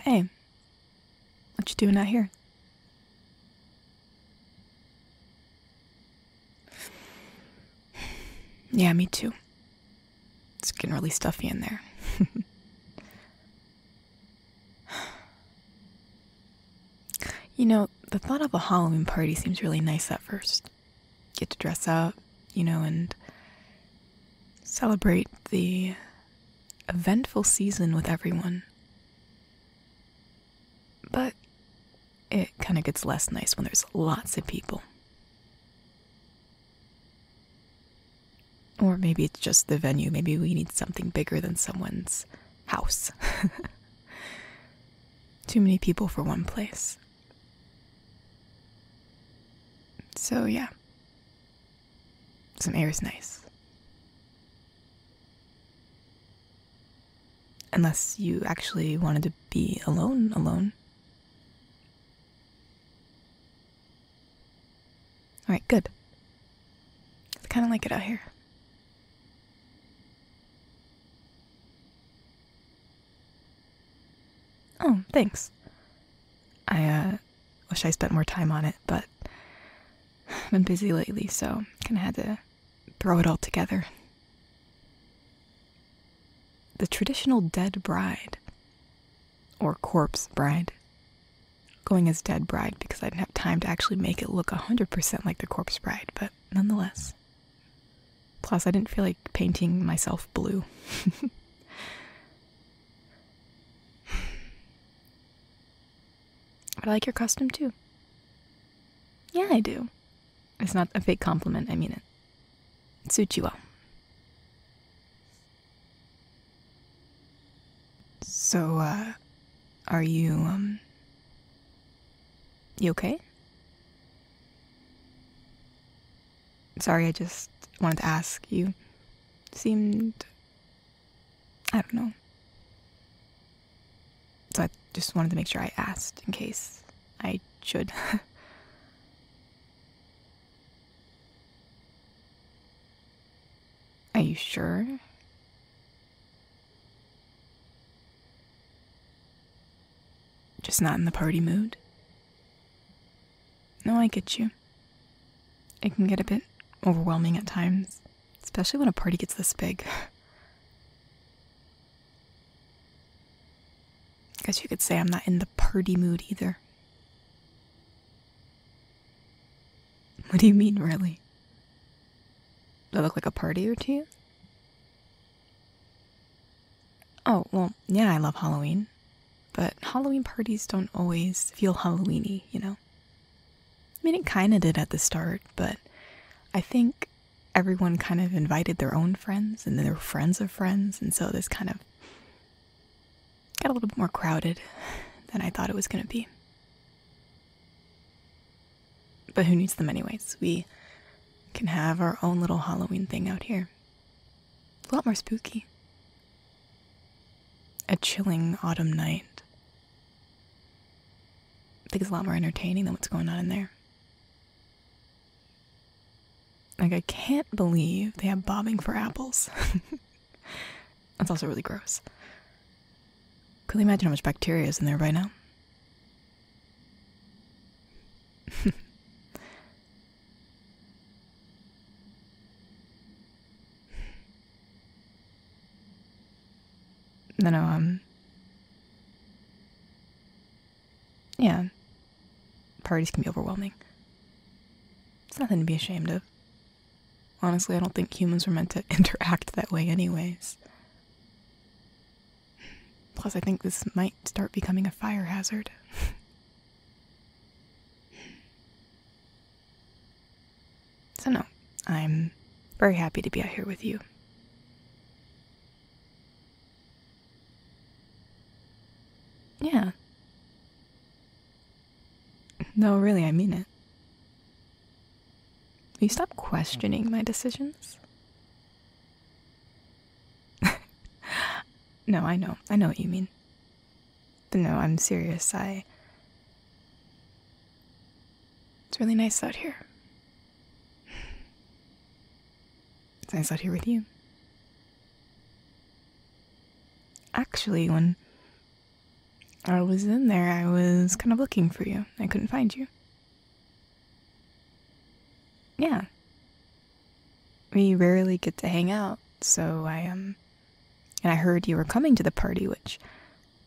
Hey, what you doing out here? Yeah, me too. It's getting really stuffy in there. you know, the thought of a Halloween party seems really nice at first get to dress up, you know, and celebrate the eventful season with everyone. But it kind of gets less nice when there's lots of people. Or maybe it's just the venue. Maybe we need something bigger than someone's house. Too many people for one place. So, yeah. Some air is nice. Unless you actually wanted to be alone, alone. Alright, good. I kind of like it out here. Oh, thanks. I, uh, wish I spent more time on it, but I've been busy lately, so kinda had to throw it all together. The traditional dead bride, or corpse bride. Going as dead bride because I didn't have time to actually make it look 100% like the corpse bride, but nonetheless, Plus, I didn't feel like painting myself blue. but I like your costume too. Yeah, I do. It's not a fake compliment, I mean it. It suits you well. So, uh, are you, um, you okay? Sorry, I just wanted to ask. You seemed. I don't know. So I just wanted to make sure I asked in case I should. Are you sure? Just not in the party mood? No, I get you. It can get a bit overwhelming at times, especially when a party gets this big. I Guess you could say I'm not in the party mood either. What do you mean, really? Do I look like a partier to you? Oh, well, yeah, I love Halloween. But Halloween parties don't always feel Halloweeny, you know? I mean, it kind of did at the start, but I think everyone kind of invited their own friends and their friends of friends, and so this kind of got a little bit more crowded than I thought it was going to be. But who needs them, anyways? We can have our own little Halloween thing out here. a lot more spooky. A chilling autumn night. I think it's a lot more entertaining than what's going on in there. Like, I can't believe they have bobbing for apples. That's also really gross. Could you imagine how much bacteria is in there right now? no, no, um. Yeah. Parties can be overwhelming. It's nothing to be ashamed of. Honestly, I don't think humans were meant to interact that way, anyways. Plus, I think this might start becoming a fire hazard. so, no, I'm very happy to be out here with you. Yeah. No, really, I mean it you stop questioning my decisions? no, I know. I know what you mean. But no, I'm serious. I. It's really nice out here. It's nice out here with you. Actually, when I was in there, I was kind of looking for you. I couldn't find you. Yeah. We rarely get to hang out, so I, um, and I heard you were coming to the party, which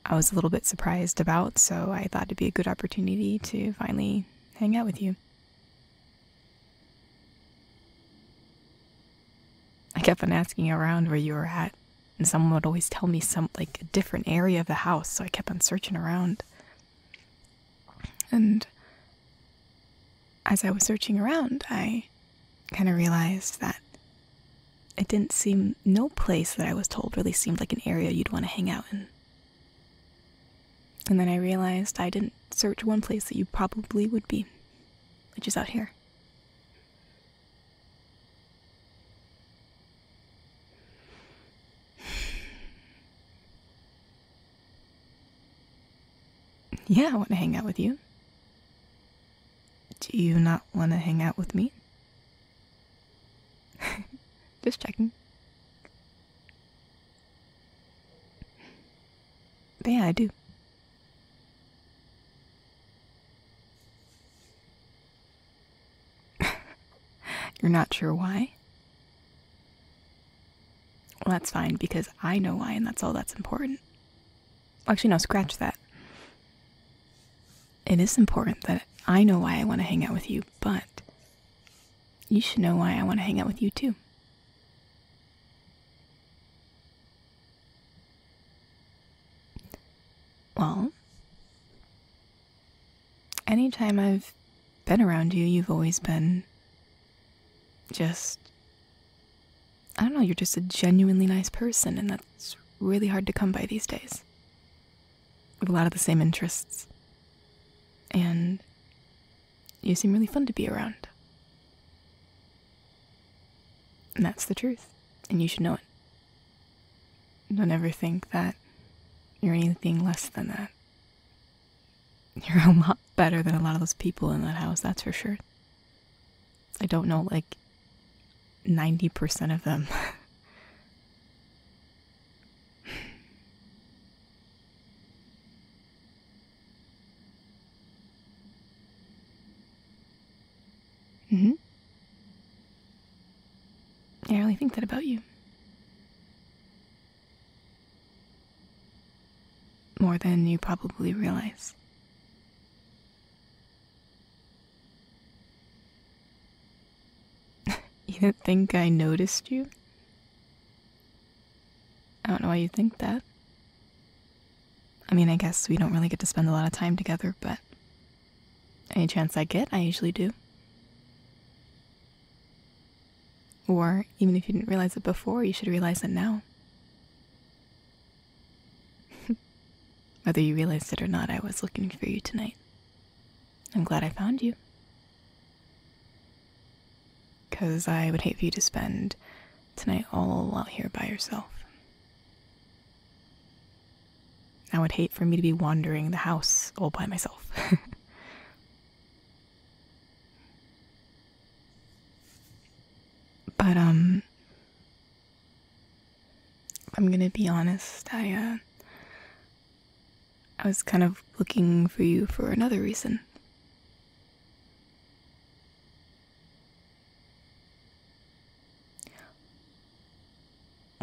I was a little bit surprised about, so I thought it'd be a good opportunity to finally hang out with you. I kept on asking around where you were at, and someone would always tell me some like a different area of the house so i kept on searching around and as i was searching around i kind of realized that it didn't seem no place that i was told really seemed like an area you'd want to hang out in and then i realized i didn't search one place that you probably would be which is out here Yeah, I want to hang out with you. Do you not want to hang out with me? Just checking. But yeah, I do. You're not sure why? Well, that's fine because I know why, and that's all that's important. Actually, no, scratch that. It is important that I know why I want to hang out with you, but you should know why I want to hang out with you too. Well, Anytime I've been around you, you've always been just. I don't know, you're just a genuinely nice person, and that's really hard to come by these days. have a lot of the same interests. And you seem really fun to be around. And that's the truth, and you should know it. Don't ever think that you're anything less than that. You're a lot better than a lot of those people in that house, that's for sure. I don't know, like 90% of them hmm I only think that about you. More than you probably realize. you do not think I noticed you? I don't know why you think that. I mean, I guess we don't really get to spend a lot of time together, but any chance I get, I usually do. Or, even if you didn't realize it before, you should realize it now. Whether you realized it or not, I was looking for you tonight. I'm glad I found you. Because I would hate for you to spend tonight all out here by yourself. I would hate for me to be wandering the house all by myself. but, um, I'm gonna be honest, I, uh, I was kind of looking for you for another reason.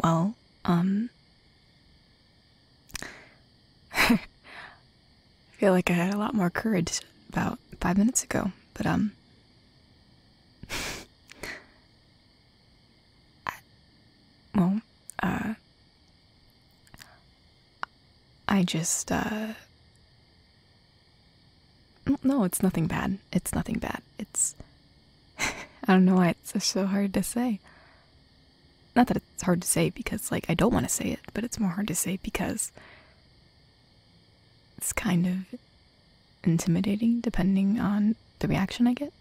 Well, um. I feel like I had a lot more courage about five minutes ago, but, um. well, uh. I just, uh. No, it's nothing bad. It's nothing bad. It's. I don't know why it's so hard to say. Not that it's hard to say because, like, I don't want to say it, but it's more hard to say because it's kind of intimidating depending on the reaction I get.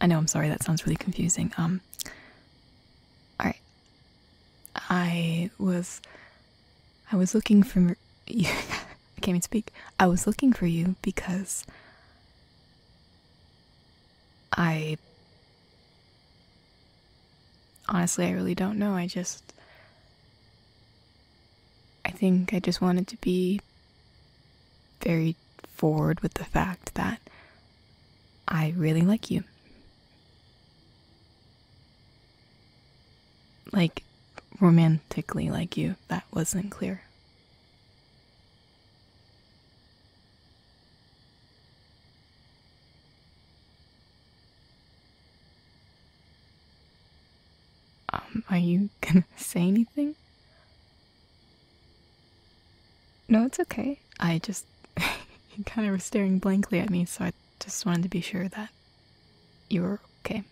I know, I'm sorry, that sounds really confusing. Um, alright. I was I was looking for you. can't speak. I was looking for you because I honestly, I really don't know. I just. I think I just wanted to be very forward with the fact that I really like you. Like, romantically like you, that wasn't clear. Um, are you gonna say anything? No, it's okay. I just. you kind of were staring blankly at me, so I just wanted to be sure that you were okay.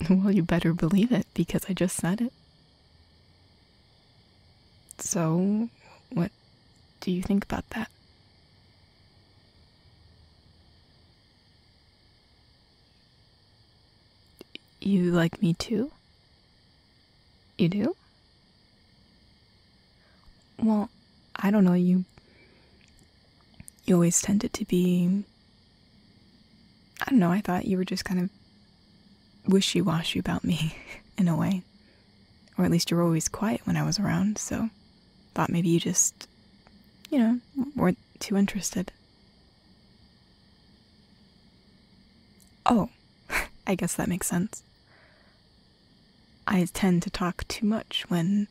Well, you better believe it because I just said it. So, what do you think about that? You like me too? You do? Well, I don't know, you you always tended to be I don't know, I thought you were just kind of wishy-washy about me in a way. Or at least you were always quiet when I was around, so thought maybe you just you know, weren't too interested. Oh, I guess that makes sense. I tend to talk too much when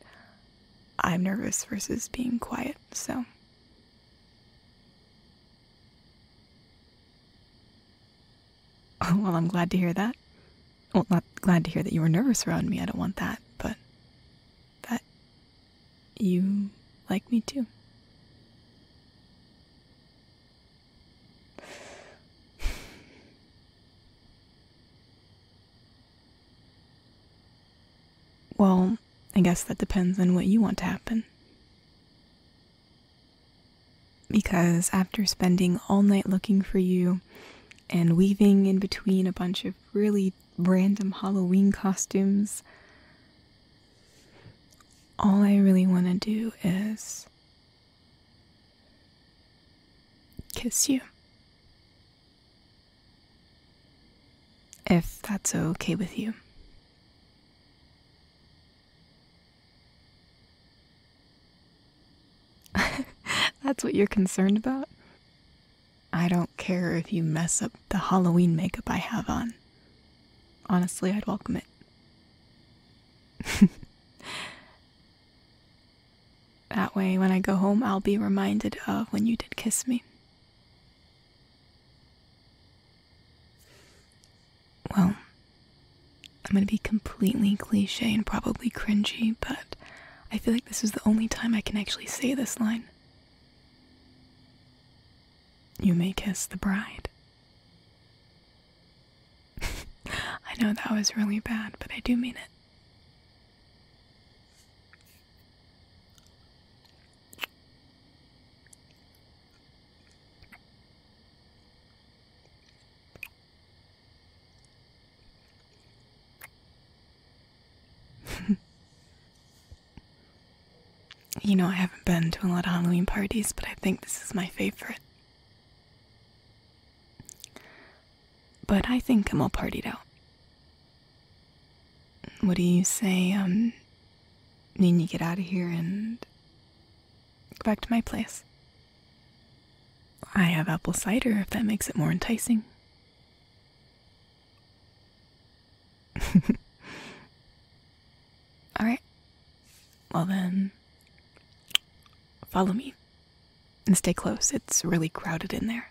I'm nervous versus being quiet, so. Oh, well, I'm glad to hear that. Well, not glad to hear that you were nervous around me. I don't want that, but that you like me too. Well, I guess that depends on what you want to happen. Because after spending all night looking for you and weaving in between a bunch of really random Halloween costumes, all I really want to do is kiss you. If that's okay with you. that's what you're concerned about? I don't care if you mess up the Halloween makeup I have on. Honestly, I'd welcome it that way, when I go home, I'll be reminded of when you did kiss me. Well, I'm gonna be completely cliche and probably cringy, but I feel like this is the only time I can actually say this line. You may kiss the bride. I know that was really bad, but I do mean it. you know, I haven't been to a lot of Halloween parties, but I think this is my favorite. But I think I'm all partied out. What do you say, um, need you get out of here and go back to my place? I have apple cider if that makes it more enticing. Alright. Well then, follow me and stay close. It's really crowded in there.